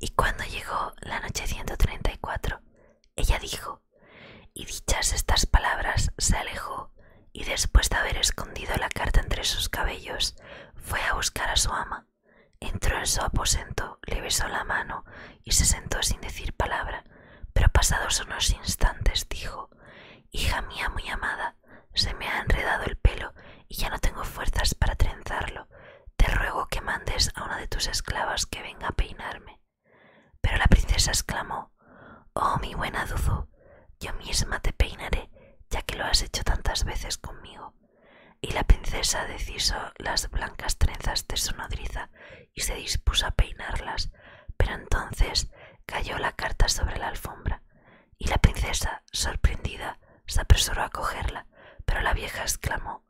Y cuando llegó la noche 134, ella dijo, y dichas estas palabras se alejó, y después de haber escondido la carta entre sus cabellos, fue a buscar a su ama, Entró en su aposento, le besó la mano y se sentó sin decir palabra, pero pasados unos instantes dijo Hija mía muy amada, se me ha enredado el pelo y ya no tengo fuerzas para trenzarlo. Te ruego que mandes a una de tus esclavas que venga a peinarme. Pero la princesa exclamó Oh, mi buena Dudu, yo misma te peinaré, ya que lo has hecho tantas veces conmigo y la princesa deshizo las blancas trenzas de su nodriza y se dispuso a peinarlas, pero entonces cayó la carta sobre la alfombra y la princesa, sorprendida, se apresuró a cogerla, pero la vieja exclamó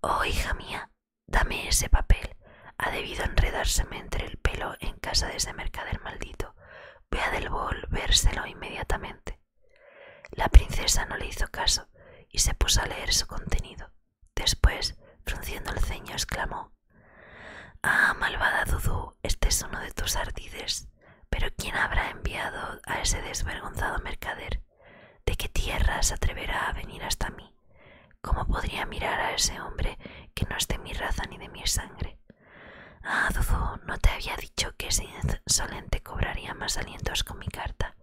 Oh, hija mía, dame ese papel. Ha debido enredárseme entre el pelo en casa de ese mercader maldito. Voy a devolvérselo inmediatamente. La princesa no le hizo caso y se puso a leer su contenido. Después, frunciendo el ceño, exclamó Ah, malvada Dudú, este es uno de tus ardides. Pero ¿quién habrá enviado a ese desvergonzado mercader? ¿De qué tierra se atreverá a venir hasta mí? ¿Cómo podría mirar a ese hombre que no es de mi raza ni de mi sangre? Ah, Dudú, no te había dicho que sin insolente cobraría más alientos con mi carta.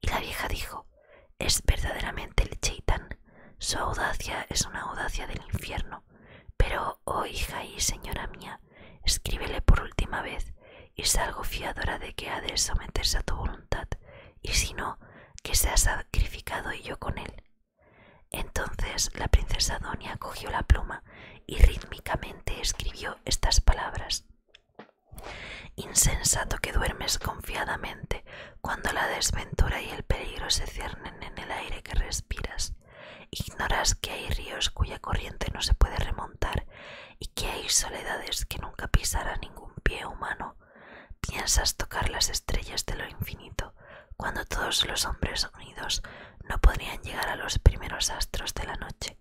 Y la vieja dijo, es verdaderamente el chaitán, Su audacia es una audacia del infierno. Pero, oh hija y señora mía, escríbele por última vez y salgo fiadora de que ha de someterse a tu voluntad, y si no, que sea sacrificado y yo con él. Entonces la princesa Donia cogió la pluma y rítmicamente escribió estas palabras. Insensato que duermes confiadamente cuando la desventura y el peligro se ciernen en el aire que respiras. Ignoras que hay ríos cuya corriente no se puede remontar y que hay soledades que nunca pisará ningún pie humano. Piensas tocar las estrellas de lo infinito cuando todos los hombres unidos no podrían llegar a los primeros astros de la noche.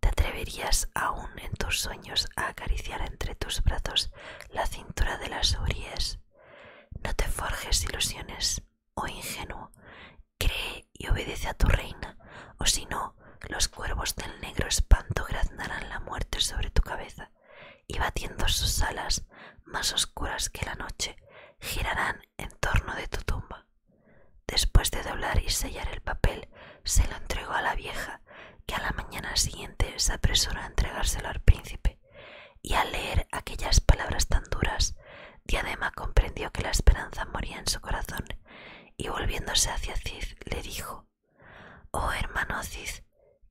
¿Te atreverías aún en tus sueños a acariciar entre tus brazos la cintura de las Urias? No te forjes ilusiones, oh ingenuo, cree y obedece a tu reina, o si no, los cuervos del negro espanto graznarán la muerte sobre tu cabeza, y batiendo sus alas, más oscuras que la noche, girarán en torno de tu tumba. Después de doblar y sellar el papel, se lo entregó a la vieja, que a la mañana siguiente se apresuró a entregárselo al príncipe, y al leer aquellas palabras tan duras, Diadema comprendió que la esperanza moría en su corazón, y volviéndose hacia Cid le dijo Oh hermano Cid,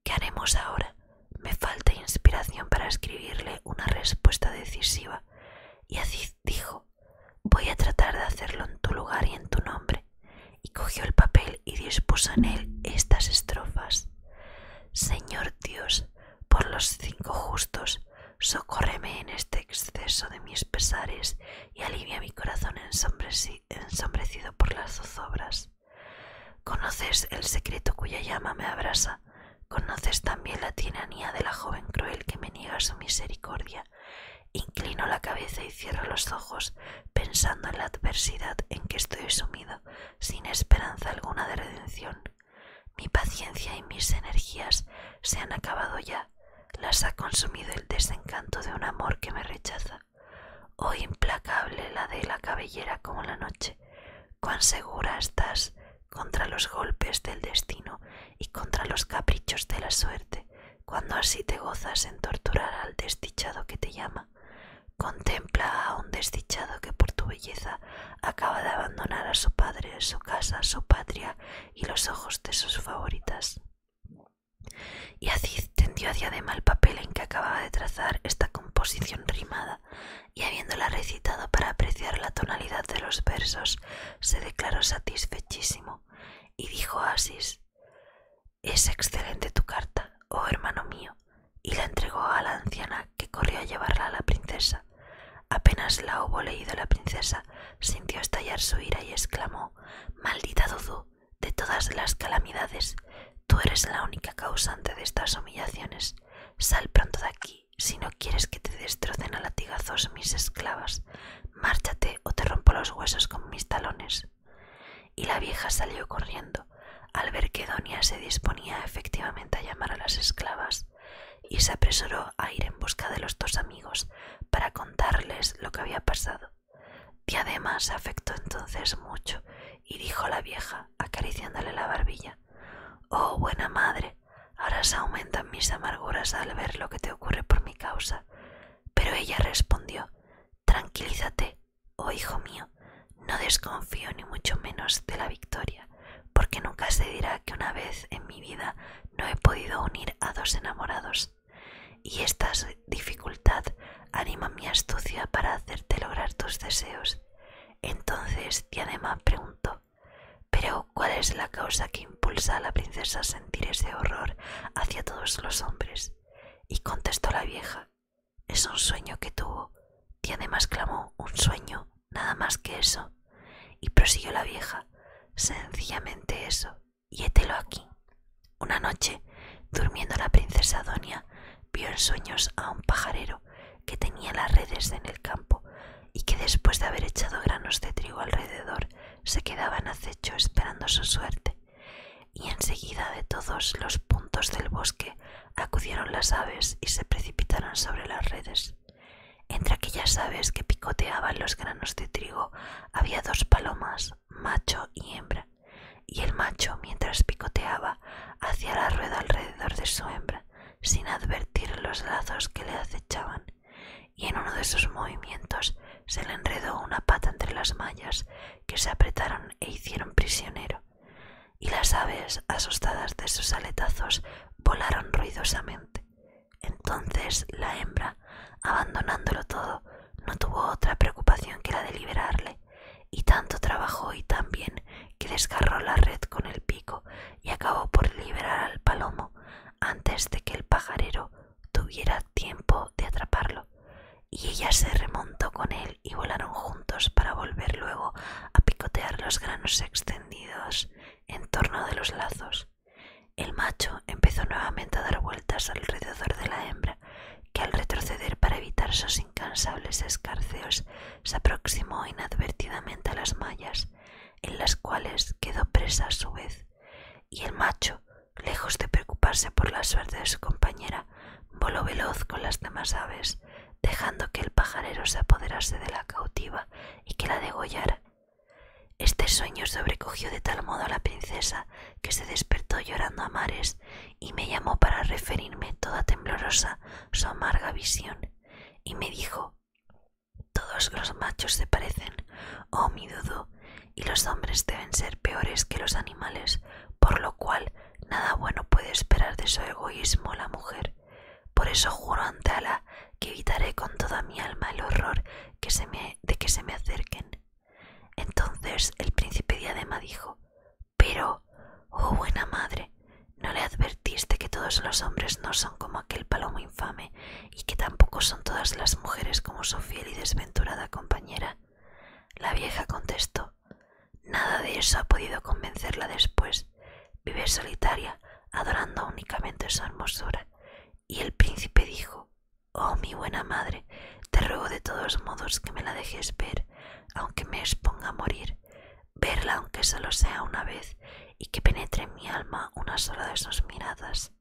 ¿qué haremos ahora? Me falta inspiración para escribirle una respuesta decisiva, y dijo, voy a tratar de hacerlo en tu lugar y en tu nombre. Y cogió el papel y dispuso en él estas estrofas. Señor Dios, por los cinco justos, socórreme en este exceso de mis pesares y alivia mi corazón ensombrecido por las zozobras. Conoces el secreto cuya llama me abrasa, conoces también la tiranía de la joven cruel que me niega su misericordia. Inclino la cabeza y cierro los ojos, pensando en la adversidad en que estoy sumido, sin esperanza alguna de redención. Mi paciencia y mis energías se han acabado ya, las ha consumido el desencanto de un amor que me rechaza. Oh implacable la de la cabellera como la noche, cuán segura estás contra los golpes del destino y contra los caprichos de la suerte, cuando así te gozas en torturar al desdichado que te llama. Contempla a un desdichado que por tu belleza acaba de abandonar a su padre, su casa, su patria y los ojos de sus favoritas. Y tendió a Diadema el papel en que acababa de trazar esta composición rimada, y habiéndola recitado para apreciar la tonalidad de los versos, se declaró satisfechísimo y dijo Asis, es excelente tu carta, oh hermano mío, y la entregó a la anciana que corrió a llevarla a la princesa. Apenas la hubo leído la princesa, sintió estallar su ira y exclamó, Maldita Dudu, de todas las calamidades, tú eres la única causante de estas humillaciones. Sal pronto de aquí, si no quieres que te destrocen a latigazos mis esclavas, Márchate o te rompo los huesos con mis talones. Y la vieja salió corriendo al ver que Donia se disponía efectivamente a llamar a las esclavas y se apresuró a ir en busca de los dos amigos para contarles lo que había pasado. Diadema se afectó entonces mucho y dijo la vieja, acariciándole la barbilla Oh, buena madre, ahora se aumentan mis amarguras al ver lo que te ocurre por mi causa. Pero ella respondió Tranquilízate, oh hijo mío, no desconfío ni mucho menos de la victoria, porque nunca se dirá que una vez en mi vida no he podido unir a dos enamorados. Y esta dificultad anima mi astucia para hacerte lograr tus deseos. Entonces Diadema preguntó pero, ¿cuál es la causa que impulsa a la princesa a sentir ese horror hacia todos los hombres? Y contestó la vieja, es un sueño que tuvo, y además clamó, un sueño, nada más que eso. Y prosiguió la vieja, sencillamente eso, y hételo aquí. Una noche, durmiendo la princesa Donia, vio en sueños a un pajarero que tenía las redes en el campo y que después de haber echado granos de trigo alrededor se quedaban acecho esperando su suerte, y enseguida de todos los puntos del bosque acudieron las aves y se precipitaron sobre las redes. Entre aquellas aves que picoteaban los granos de trigo había dos palomas, macho y hembra, y el macho, mientras picoteaba, hacía la rueda alrededor de su hembra, sin advertir los lazos que le acechaban y en uno de sus movimientos se le enredó una pata entre las mallas que se apretaron e hicieron prisionero, y las aves, asustadas de sus aletazos, volaron ruidosamente. Entonces la hembra, abandonándolo todo, no tuvo otra preocupación que la de liberarle, y tanto trabajó y tan bien que desgarró la red con el pico y acabó por liberar al palomo, antes de que el pajarero tuviera tiempo de atraparlo, y ella se remontó con él y volaron juntos para volver luego a picotear los granos extendidos en torno de los lazos. El macho empezó nuevamente a dar vueltas alrededor de la hembra, que al retroceder para evitar sus incansables escarceos se aproximó inadvertidamente a las mallas en las cuales quedó presa a su vez, y el macho, lejos de preocuparse por la suerte de su compañera, voló veloz con las demás aves, dejando que el pajarero se apoderase de la cautiva y que la degollara. Este sueño sobrecogió de tal modo a la princesa que se despertó llorando a mares y me llamó para referirme toda temblorosa su amarga visión y me dijo todos los machos se parecen, oh mi dudo, y los hombres deben ser peores que los animales, por lo cual nada bueno puede esperar de su egoísmo la mujer. Por eso juro ante Alá que evitaré con toda mi alma el horror que de que se me acerquen. Entonces el príncipe diadema dijo Pero, oh buena madre, ¿no le advertiste que todos los hombres no son como aquel palomo infame y que tampoco son todas las mujeres como su fiel y desventurada compañera. La vieja contestó Nada de eso ha podido convencerla después. Vive solitaria, adorando únicamente su hermosura. Y el príncipe dijo Oh mi buena madre, te ruego de todos modos que me la dejes ver, aunque me exponga a morir. Verla aunque solo sea una vez y que penetre en mi alma una sola de sus miradas.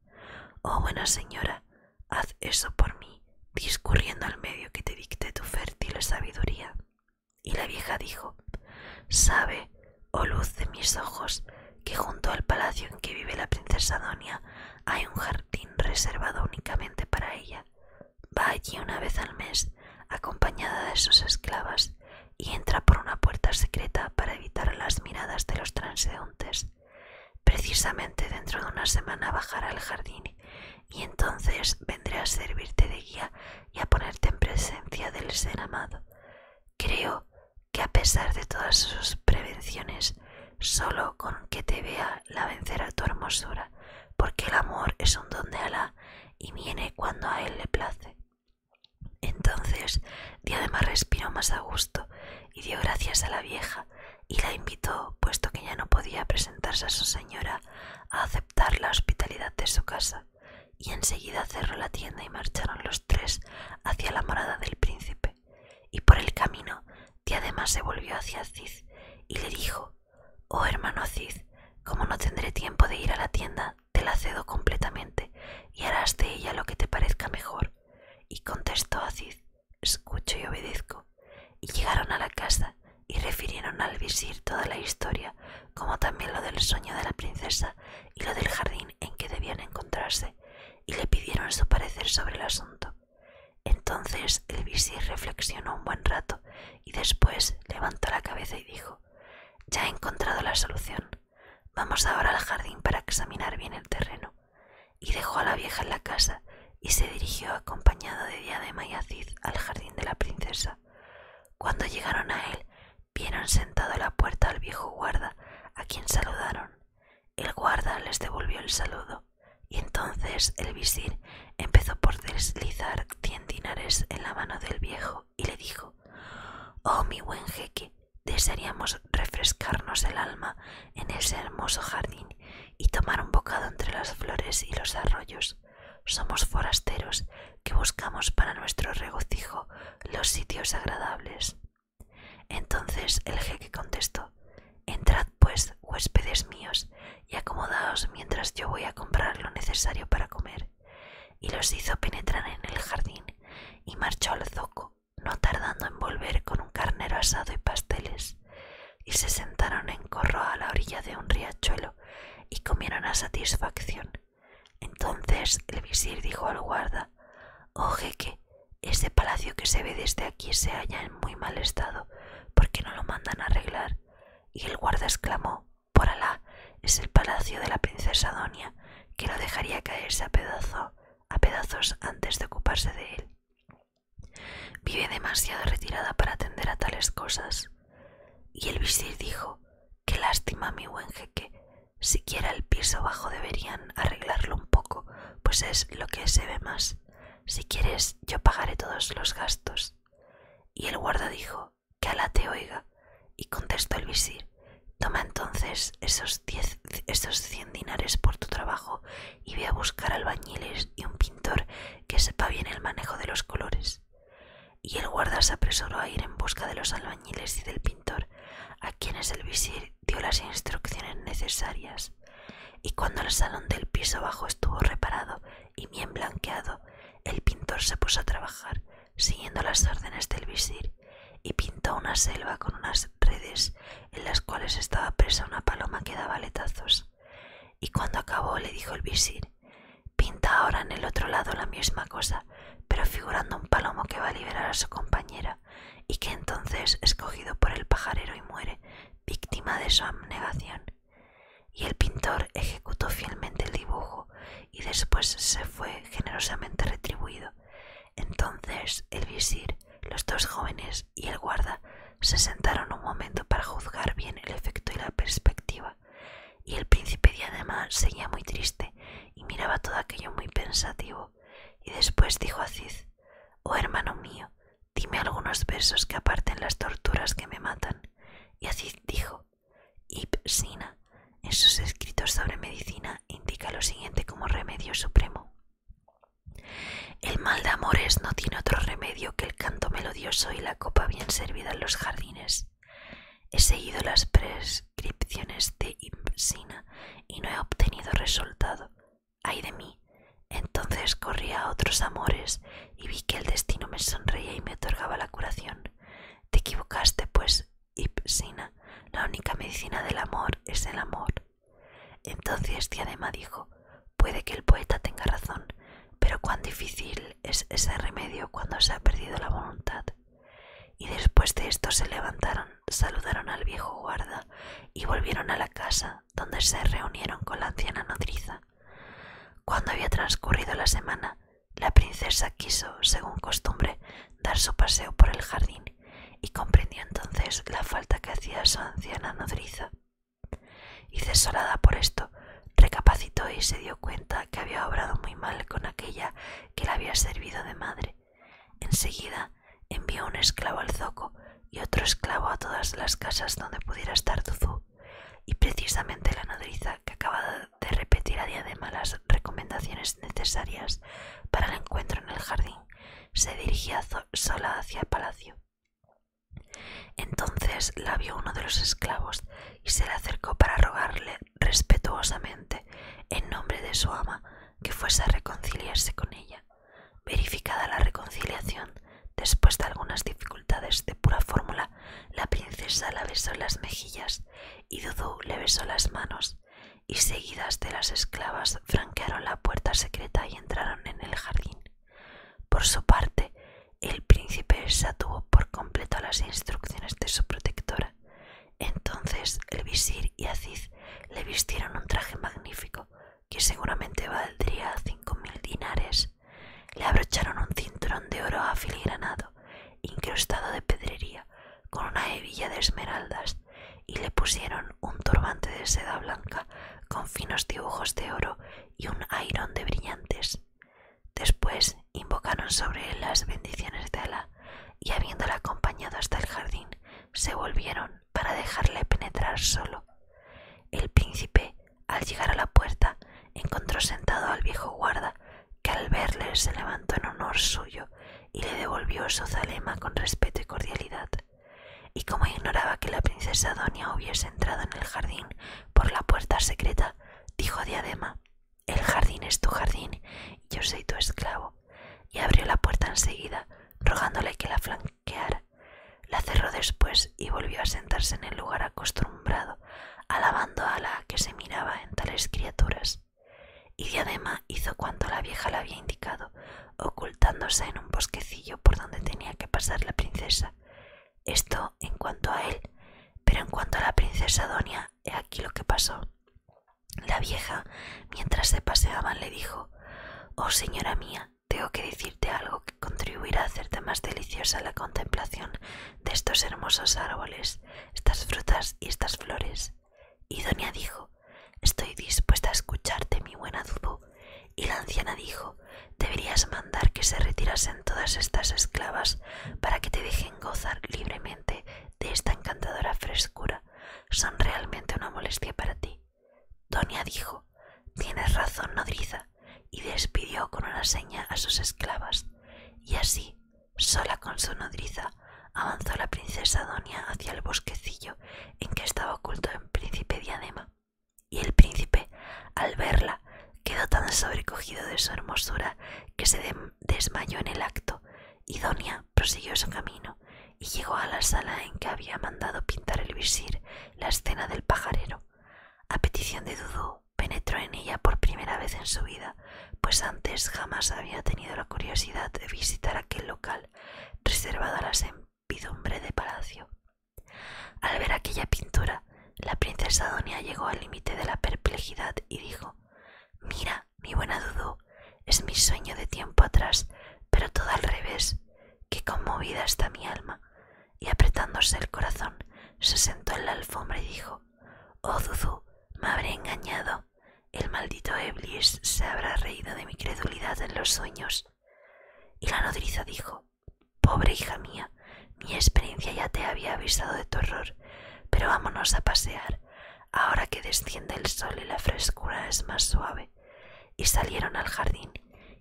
Oh buena señora, haz eso por mí, discurriendo al medio que te dicte tu fértil sabiduría. Y la vieja dijo, Sabe, oh luz de mis ojos, que junto al palacio en que vive la princesa Donia hay un jardín reservado únicamente para ella. Va allí una vez al mes, acompañada de sus esclavas, y entra por una puerta secreta para evitar las miradas de los transeúntes. Precisamente dentro de una semana bajará al jardín y entonces vendré a servirte de guía y a ponerte en presencia del ser amado. Creo que a pesar de todas sus prevenciones, solo con que te vea la vencerá tu hermosura, porque el amor es un don de Alá y viene cuando a él le place. Entonces Diadema respiró más a gusto y dio gracias a la vieja y la invitó, puesto que ya no podía presentarse a su señora, a aceptar la hospitalidad de su casa, y enseguida cerró la tienda y marcharon los tres hacia la morada del príncipe. Y por el camino Diadema se volvió hacia Cid y le dijo Oh hermano Cid, como no tendré tiempo de ir a la tienda te la cedo completamente y harás de ella lo que te parezca mejor. Y contestó Aziz, escucho y obedezco. Y llegaron a la casa y refirieron al visir toda la historia, como también lo del sueño de la princesa y lo del jardín en que debían encontrarse, y le pidieron su parecer sobre el asunto. Entonces el visir reflexionó un buen rato y después levantó la cabeza y dijo, Ya he encontrado la solución. Vamos ahora al jardín para examinar bien el terreno. Y dejó a la vieja en la casa y se dirigió acompañado de Diadema y Aziz al jardín de la princesa. Cuando llegaron a él, vieron sentado a la puerta al viejo guarda, a quien saludaron. El guarda les devolvió el saludo, y entonces el visir empezó por deslizar cien dinares en la mano del viejo y le dijo Oh mi buen jeque, desearíamos refrescarnos el alma en ese hermoso jardín y tomar un bocado entre las flores y los arroyos. Somos forasteros que buscamos para nuestro regocijo los sitios agradables. Entonces el jeque contestó Entrad pues, huéspedes míos, y acomodaos mientras yo voy a comprar lo necesario para comer y los hizo penetrar en el jardín y marchó al zoco, no tardando en volver con un carnero asado y pasteles, y se sentaron en corro a la orilla de un riachuelo y comieron a satisfacción. Entonces el visir dijo al guarda Oh jeque, ese palacio que se ve desde aquí se halla en muy mal estado, Porque no lo mandan arreglar? Y el guarda exclamó por Alá, es el palacio de la princesa Donia, que lo dejaría caerse a, a pedazos antes de ocuparse de él. Vive demasiado retirada para atender a tales cosas. Y el visir dijo, qué lástima, mi buen jeque, siquiera el piso bajo deberían arreglarlo un poco, pues es lo que se ve más. Si quieres, yo pagaré todos los gastos. Y el guarda dijo, que Alá te oiga. Y contestó el visir, toma entonces esos, diez, esos cien dinares por tu trabajo y ve a buscar albañiles y un pintor que sepa bien el manejo de los colores. Y el guarda se apresuró a ir en busca de los albañiles y del pintor, a quienes el visir dio las instrucciones necesarias. Y cuando el salón del piso bajo estuvo reparado y bien blanqueado, el pintor se puso a trabajar siguiendo las órdenes del visir, y pintó una selva con unas redes en las cuales estaba presa una paloma que daba letazos Y cuando acabó le dijo el visir, pinta ahora en el otro lado la misma cosa, pero figurando un palomo que va a liberar a su compañera, y que entonces es cogido por el pajarero y muere, víctima de su abnegación. Y el pintor ejecutó fielmente el dibujo y después se fue generosamente retribuido. Entonces el visir, los dos jóvenes y el guarda se sentaron un momento para juzgar bien el efecto y la perspectiva, y el príncipe diadema seguía muy triste y miraba todo aquello muy pensativo, y después dijo a Cid, Oh hermano mío, dime algunos versos que aparten las torturas que me matan. Y Aziz dijo, Ipsina, en sus escritos sobre medicina, indica lo siguiente como remedio supremo. El mal de amores no tiene otro remedio que el canto melodioso y la copa bien servida en los jardines. He seguido las prescripciones de Ipsina y no he obtenido resultado. ¡Ay de mí! Entonces corría a otros amores y vi que el destino me sonreía y me otorgaba la curación. Te equivocaste, pues, Ipsina, la única medicina del amor es el amor. Entonces Diadema dijo, puede que el poeta tenga razón, pero cuán difícil es ese remedio cuando se ha perdido la voluntad. Y después de esto se levantaron, saludaron al viejo guarda y volvieron a la casa, donde se reunieron con la anciana nodriza. Cuando había transcurrido la semana, la princesa quiso, según costumbre, dar su paseo por el jardín y comprendió entonces la falta que hacía su anciana nodriza. Y cesorada por esto, recapacitó y se dio cuenta que había obrado muy mal con aquella que le había servido de madre. Enseguida envió un esclavo al zoco y otro esclavo a todas las casas donde pudiera estar Tuzú, y precisamente la nodriza que acababa de de repetir a diadema las recomendaciones necesarias para el encuentro en el jardín, se dirigía sola hacia el palacio. Entonces la vio uno de los esclavos y se le acercó para rogarle respetuosamente, en nombre de su ama, que fuese a reconciliarse con ella. Verificada la reconciliación, después de algunas dificultades de pura fórmula, la princesa la besó las mejillas y Dudu le besó las manos, y seguidas de las esclavas franquearon la puerta secreta y entraron en el jardín. Por su parte, el príncipe se atuvo por completo las instrucciones de su protectora. Entonces el visir y Aziz le vistieron un traje magnífico que seguramente valdría cinco mil dinares. Le abrocharon un cinturón de oro afiligranado incrustado de pedrería, con una hebilla de esmeraldas, y le pusieron un turbante de seda blanca con finos dibujos de oro y un airón de brillantes. Después invocaron sobre él las bendiciones de Ala y habiéndola acompañado hasta el jardín, se volvieron para dejarle penetrar solo. El príncipe, al llegar a la puerta, encontró sentado al viejo guarda, que al verle se levantó en honor suyo y le devolvió su zalema con respeto y cordialidad. Y como ignoraba que la princesa Doña hubiese entrado en el jardín por la puerta secreta, dijo Diadema El jardín es tu jardín y yo soy tu esclavo. Y abrió la puerta enseguida, rogándole que la flanqueara. La cerró después y volvió a sentarse en el lugar acostumbrado alabando a la que se miraba en tales criaturas. Y Diadema hizo cuanto la vieja le había indicado, ocultándose en un bosquecillo por donde tenía que pasar la princesa. Esto en cuanto a él, pero en cuanto a la princesa Donia, he aquí lo que pasó. La vieja, mientras se paseaban, le dijo Oh señora mía, tengo que decirte algo que contribuirá a hacerte más deliciosa la contemplación de estos hermosos árboles, estas frutas y estas flores. Y Doña dijo, Estoy dispuesta a escucharte, mi buena Dudu. Y la anciana dijo, Deberías mandar que se retirasen todas estas esclavas para que te dejen gozar libremente de esta encantadora frescura. Son realmente una molestia para ti. Doña dijo, Tienes razón, nodriza, y despidió con una seña a sus esclavas. Y así Sola con su nodriza, avanzó la princesa Donia hacia el bosquecillo en que estaba oculto el príncipe Diadema, y el príncipe, al verla, quedó tan sobrecogido de su hermosura que se desmayó en el acto, y Donia prosiguió su camino y llegó a la sala en que había mandado pintar el visir la escena del pajarero. A petición de Dudu, penetró en ella por primera vez en su vida, pues antes jamás había tenido la curiosidad de visitar aquel local reservado a la sempidumbre de palacio. Al ver aquella pintura, la princesa Donia llegó al límite de la perplejidad y dijo Mira, mi buena Dudú, es mi sueño de tiempo atrás, pero todo al revés. Qué conmovida está mi alma. Y apretándose el corazón, se sentó en la alfombra y dijo Oh, Zuzu, me habré engañado. El maldito Eblis se habrá reído de mi credulidad en los sueños. Y la nodriza dijo, Pobre hija mía, mi experiencia ya te había avisado de tu horror, pero vámonos a pasear, ahora que desciende el sol y la frescura es más suave. Y salieron al jardín,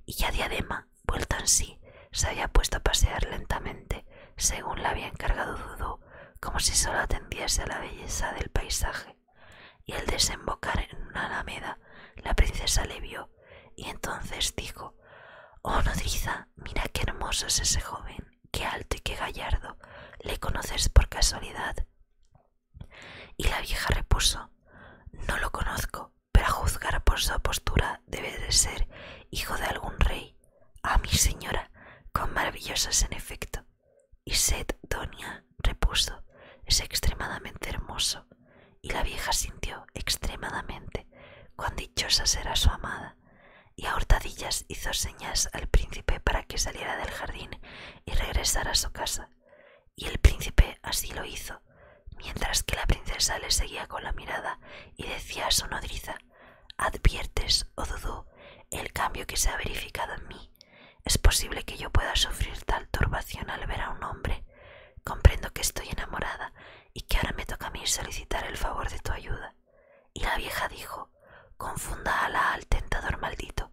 y ya Diadema, vuelta en sí, se había puesto a pasear lentamente, según la había encargado Dudú, como si solo atendiese a la belleza del paisaje. Y al desembocar en una alameda, la princesa le vio, y entonces dijo Oh nodriza, mira qué hermoso es ese joven, qué alto y qué gallardo. ¿Le conoces por casualidad? Y la vieja repuso No lo conozco, pero a juzgar por su postura debe de ser hijo de algún rey. A mi señora, con maravillosas en efecto. Y sed, Doña, repuso, es extremadamente hermoso. Y la vieja sintió extremadamente cuán dichosa será su amada. Y a hurtadillas hizo señas al príncipe para que saliera del jardín y regresara a su casa. Y el príncipe así lo hizo, mientras que la princesa le seguía con la mirada y decía a su nodriza ¿Adviertes, oh Dudú, el cambio que se ha verificado en mí? Es posible que yo pueda sufrir tal turbación al ver a un hombre. Comprendo que estoy enamorada y que ahora me toca a mí solicitar el favor de tu ayuda. Y la vieja dijo, confunda ala al tentador maldito.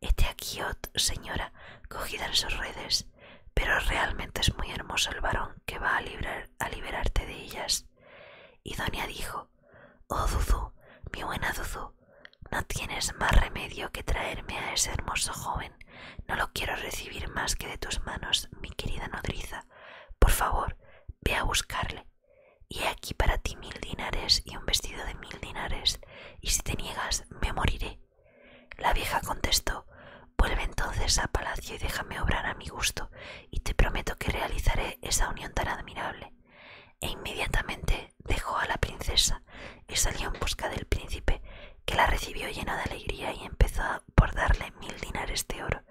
Este aquí, oh señora, cogida en sus redes. Pero realmente es muy hermoso el varón que va a librar a liberarte de ellas. Y Donia dijo, Oh Duzu mi buena Zuzu, no tienes más remedio que traerme a ese hermoso joven. No lo quiero recibir más que de tus manos, mi querida nodriza. Por favor, ve a buscarle. Y he aquí para ti mil dinares y un vestido de mil dinares, y si te niegas, me moriré. La vieja contestó, Vuelve entonces a palacio y déjame obrar a mi gusto, y te prometo que realizaré esa unión tan admirable. E inmediatamente dejó a la princesa y salió en busca del príncipe, que la recibió llena de alegría y empezó por darle mil dinares de oro.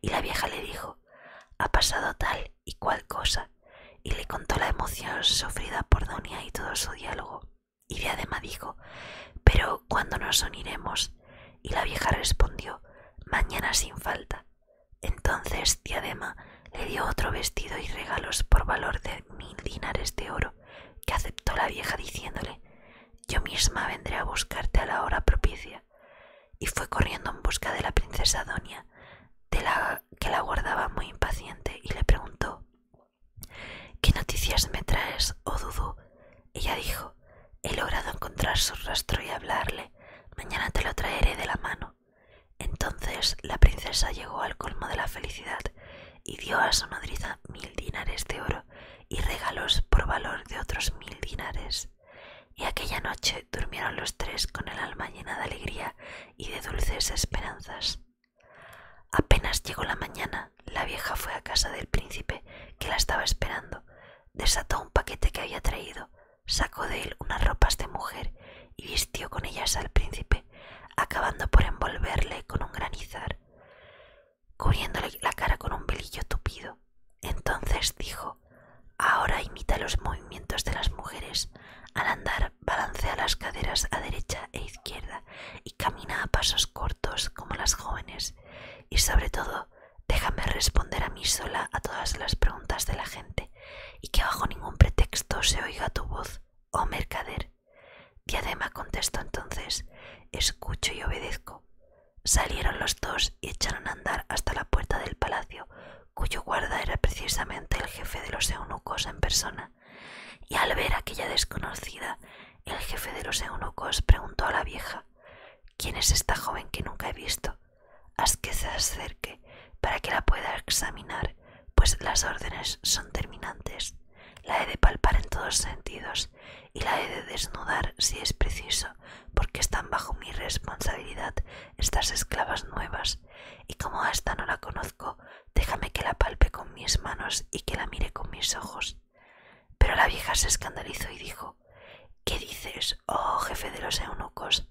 Y la vieja le dijo, ha pasado tal y cual cosa, y le contó la emoción sufrida por Donia y todo su diálogo. Y Diadema dijo, pero cuando nos uniremos y la vieja respondió Mañana sin falta. Entonces Diadema le dio otro vestido y regalos por valor de mil dinares de oro, que aceptó la vieja diciéndole Yo misma vendré a buscarte a la hora propicia. Y fue corriendo en busca de la princesa Doña, que la guardaba muy impaciente, y le preguntó ¿Qué noticias me traes, oh Dudu? Ella dijo, he logrado encontrar su rastro y hablarle. Mañana te lo traeré de la mano. Entonces la princesa llegó al colmo de la felicidad y dio a su nodriza mil dinares de oro y regalos por valor de otros mil dinares. Y aquella noche durmieron los tres con el alma llena de alegría y de dulces esperanzas. Apenas llegó la mañana, la vieja fue a casa del príncipe que la estaba esperando, desató un paquete que había traído, sacó de él unas ropas de mujer y vistió con ellas al príncipe, acabando por envolverle con un granizar, cubriéndole la cara con un velillo tupido. Entonces dijo Ahora imita los movimientos de las mujeres. Al andar, balancea las caderas a derecha e izquierda y camina a pasos cortos como las jóvenes. Y sobre todo, Déjame responder a mí sola a todas las preguntas de la gente y que bajo ningún pretexto se oiga tu voz, oh mercader. Diadema contestó entonces, escucho y obedezco. Salieron los dos y echaron a andar hasta la puerta del palacio, cuyo guarda era precisamente el jefe de los eunucos en persona. Y al ver aquella desconocida, el jefe de los eunucos preguntó a la vieja ¿Quién es esta joven que nunca he visto? Haz que se acerque para que la pueda examinar, pues las órdenes son terminantes. La he de palpar en todos sentidos y la he de desnudar si es preciso, porque están bajo mi responsabilidad estas esclavas nuevas, y como hasta no la conozco, déjame que la palpe con mis manos y que la mire con mis ojos. Pero la vieja se escandalizó y dijo ¿Qué dices, oh jefe de los eunucos?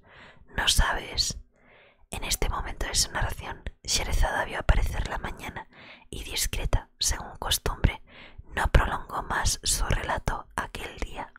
No sabes. En este momento de su narración, Sherezada vio aparecer la mañana y discreta, según costumbre, no prolongó más su relato aquel día.